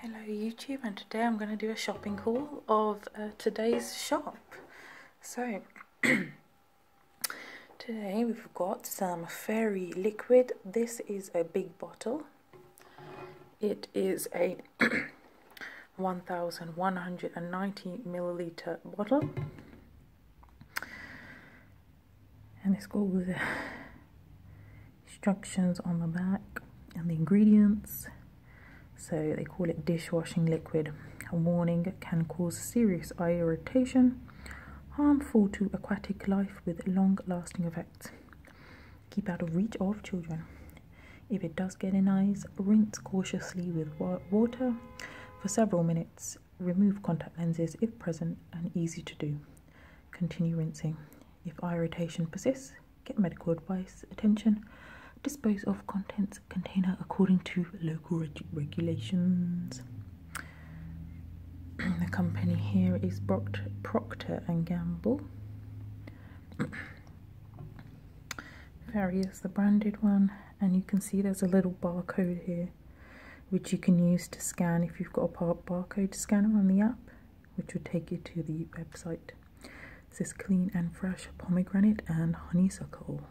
Hello YouTube and today I'm going to do a shopping haul of uh, today's shop. So, today we've got some fairy liquid. This is a big bottle. It is a 1190 milliliter bottle. And it's got all the instructions on the back and the ingredients. So they call it dishwashing liquid. A warning can cause serious eye irritation, harmful to aquatic life with long lasting effects. Keep out of reach of children. If it does get in eyes, rinse cautiously with water for several minutes. Remove contact lenses if present and easy to do. Continue rinsing. If eye irritation persists, get medical advice, attention, dispose of contents container according to local regulations. the company here is Procter, Procter and Gamble. Ferry is the branded one, and you can see there's a little barcode here, which you can use to scan if you've got a barcode scanner on the app which would take you to the website. It says clean and fresh pomegranate and honeysuckle.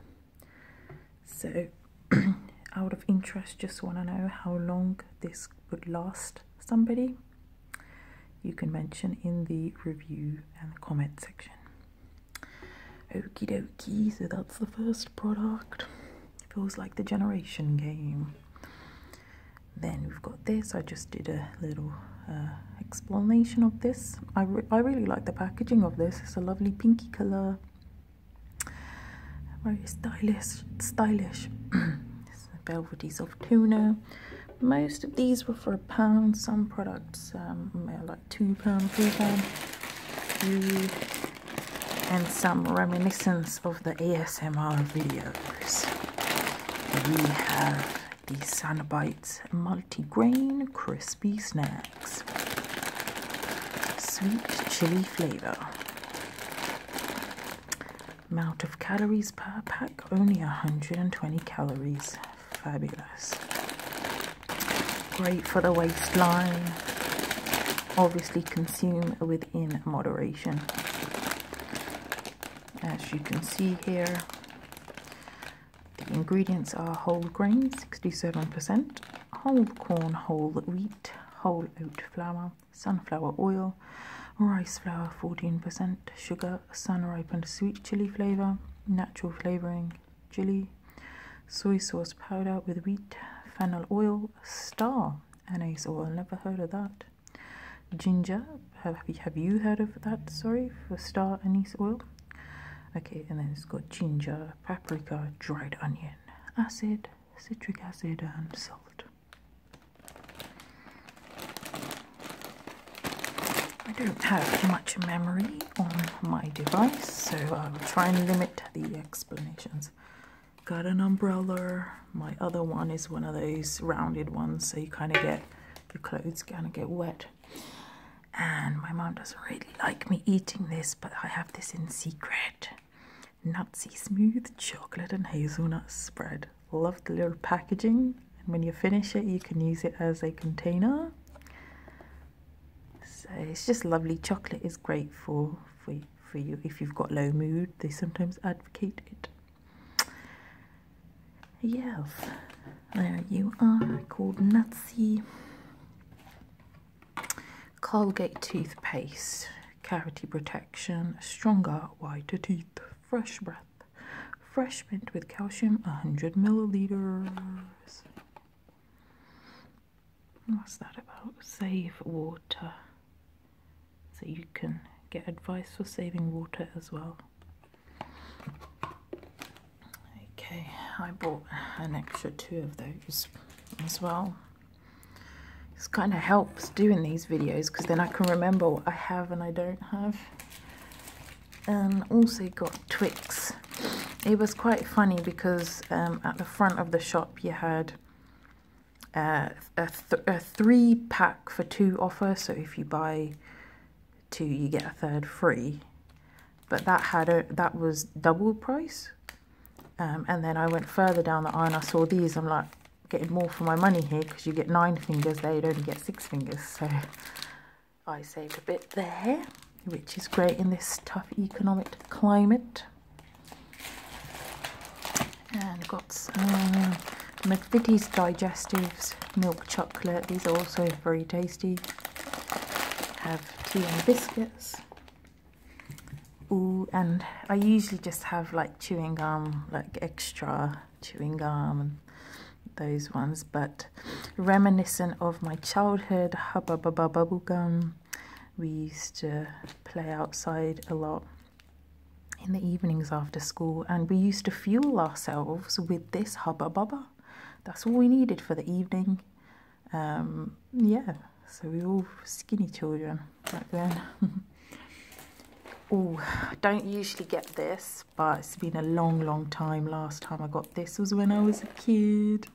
So, out of interest, just want to know how long this would last somebody. You can mention in the review and comment section. Okey dokey. so that's the first product. Feels like the generation game then we've got this i just did a little uh, explanation of this I, I really like the packaging of this it's a lovely pinky color very stylish stylish this is velvety soft tuna most of these were for a pound some products um, like two pound three pound and some reminiscence of the ASMR videos. We have the Sanabites multigrain crispy snacks, sweet chili flavor. Amount of calories per pack only 120 calories. Fabulous. Great for the waistline. Obviously, consume within moderation. As you can see here, the ingredients are whole grain, 67%, whole corn, whole wheat, whole oat flour, sunflower oil, rice flour 14%, sugar, sun ripened sweet chili flavor, natural flavoring chili, soy sauce powder with wheat, fennel oil, star anise oil. Never heard of that. Ginger, have, have you heard of that? Sorry, for star anise oil. Okay, and then it's got ginger, paprika, dried onion, acid, citric acid, and salt. I don't have much memory on my device, so I will try and limit the explanations. Got an umbrella. My other one is one of those rounded ones, so you kind of get the clothes kind of get wet. And my mom doesn't really like me eating this, but I have this in secret. Nazi smooth chocolate and hazelnut spread. Love the little packaging. And when you finish it, you can use it as a container. So it's just lovely. Chocolate is great for, for, for you if you've got low mood. They sometimes advocate it. Yes, there you are, called Nazi. Colgate toothpaste, cavity protection, stronger, whiter teeth, fresh breath, fresh mint with calcium, 100 milliliters. What's that about? Save water so you can get advice for saving water as well. Okay, I bought an extra two of those as well. This kind of helps doing these videos because then I can remember what I have and I don't have. And also got Twix. It was quite funny because um, at the front of the shop you had uh, a, three pack for two offer. So if you buy two, you get a third free. But that had a, that was double price. Um, and then I went further down the aisle and I saw these. I'm like, getting more for my money here because you get nine fingers, they'd only get six fingers. So I saved a bit there, which is great in this tough economic climate and got some McVitie's Digestives milk chocolate. These are also very tasty. Have tea and biscuits. Ooh, and I usually just have like chewing gum, like extra chewing gum those ones, but reminiscent of my childhood, hubba bubba bubble gum. We used to play outside a lot in the evenings after school, and we used to fuel ourselves with this hubba bubba. That's all we needed for the evening. Um, yeah, so we were all skinny children back then. oh, don't usually get this, but it's been a long, long time. Last time I got this was when I was a kid.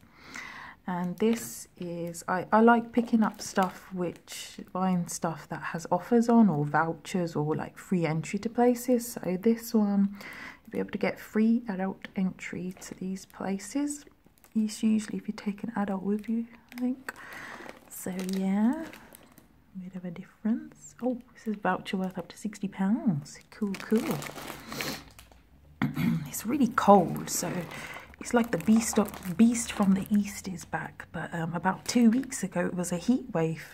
And this is, I, I like picking up stuff which Buying stuff that has offers on or vouchers or like free entry to places. So this one, you'll be able to get free adult entry to these places. It's usually if you take an adult with you, I think. So yeah, a bit of a difference. Oh, this is voucher worth up to £60. Cool, cool. it's really cold, so it's like the beast of, beast from the east is back but um, about two weeks ago it was a heat wave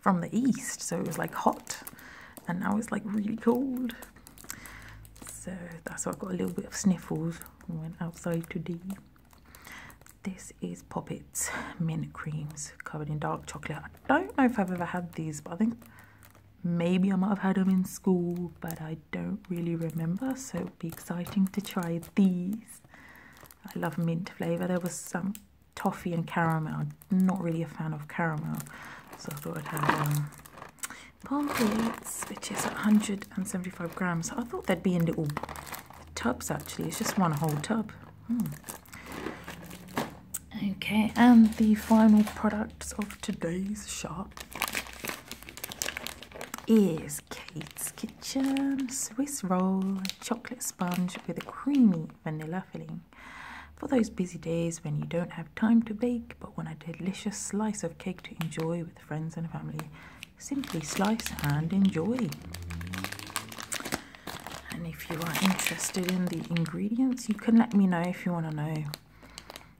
from the east, so it was like hot, and now it's like really cold. So that's why I got a little bit of sniffles when went outside today. This is Poppets mint creams covered in dark chocolate. I don't know if I've ever had these, but I think maybe I might have had them in school, but I don't really remember. So it'll be exciting to try these. I love mint flavour. There was some toffee and caramel. not really a fan of caramel, so I thought I'd have um, palm plates, which is 175 grams. I thought they'd be in little tubs actually, it's just one whole tub. Hmm. Okay, and the final product of today's shop is Kate's Kitchen Swiss roll, chocolate sponge with a creamy vanilla filling. For those busy days when you don't have time to bake but want a delicious slice of cake to enjoy with friends and family, simply slice and enjoy. And if you are interested in the ingredients, you can let me know if you want to know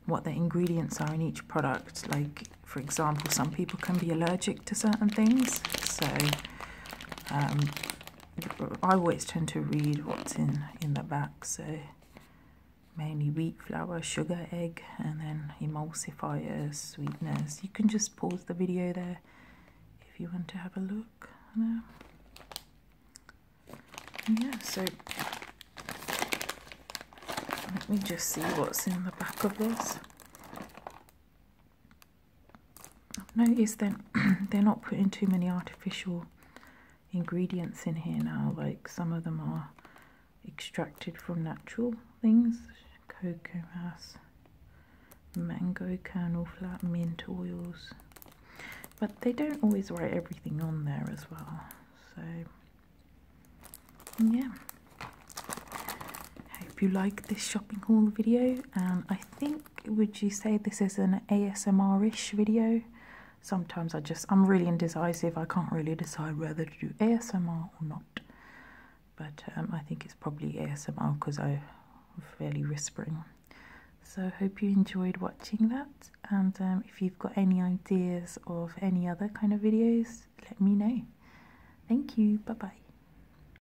what the ingredients are in each product. Like, for example, some people can be allergic to certain things, so um, I always tend to read what's in, in the back, so mainly wheat flour, sugar, egg, and then emulsify a sweetness. You can just pause the video there if you want to have a look. Uh, yeah, so let me just see what's in the back of this. I've noticed that they're not putting too many artificial ingredients in here now, like some of them are extracted from natural things cocoa mass, mango kernel flat, mint oils. But they don't always write everything on there as well, so yeah. Hope you like this shopping haul video, and I think would you say this is an ASMR-ish video? Sometimes I just, I'm really indecisive. I can't really decide whether to do ASMR or not. But um, I think it's probably ASMR because I'm fairly whispering. So hope you enjoyed watching that. And um, if you've got any ideas of any other kind of videos, let me know. Thank you. Bye-bye.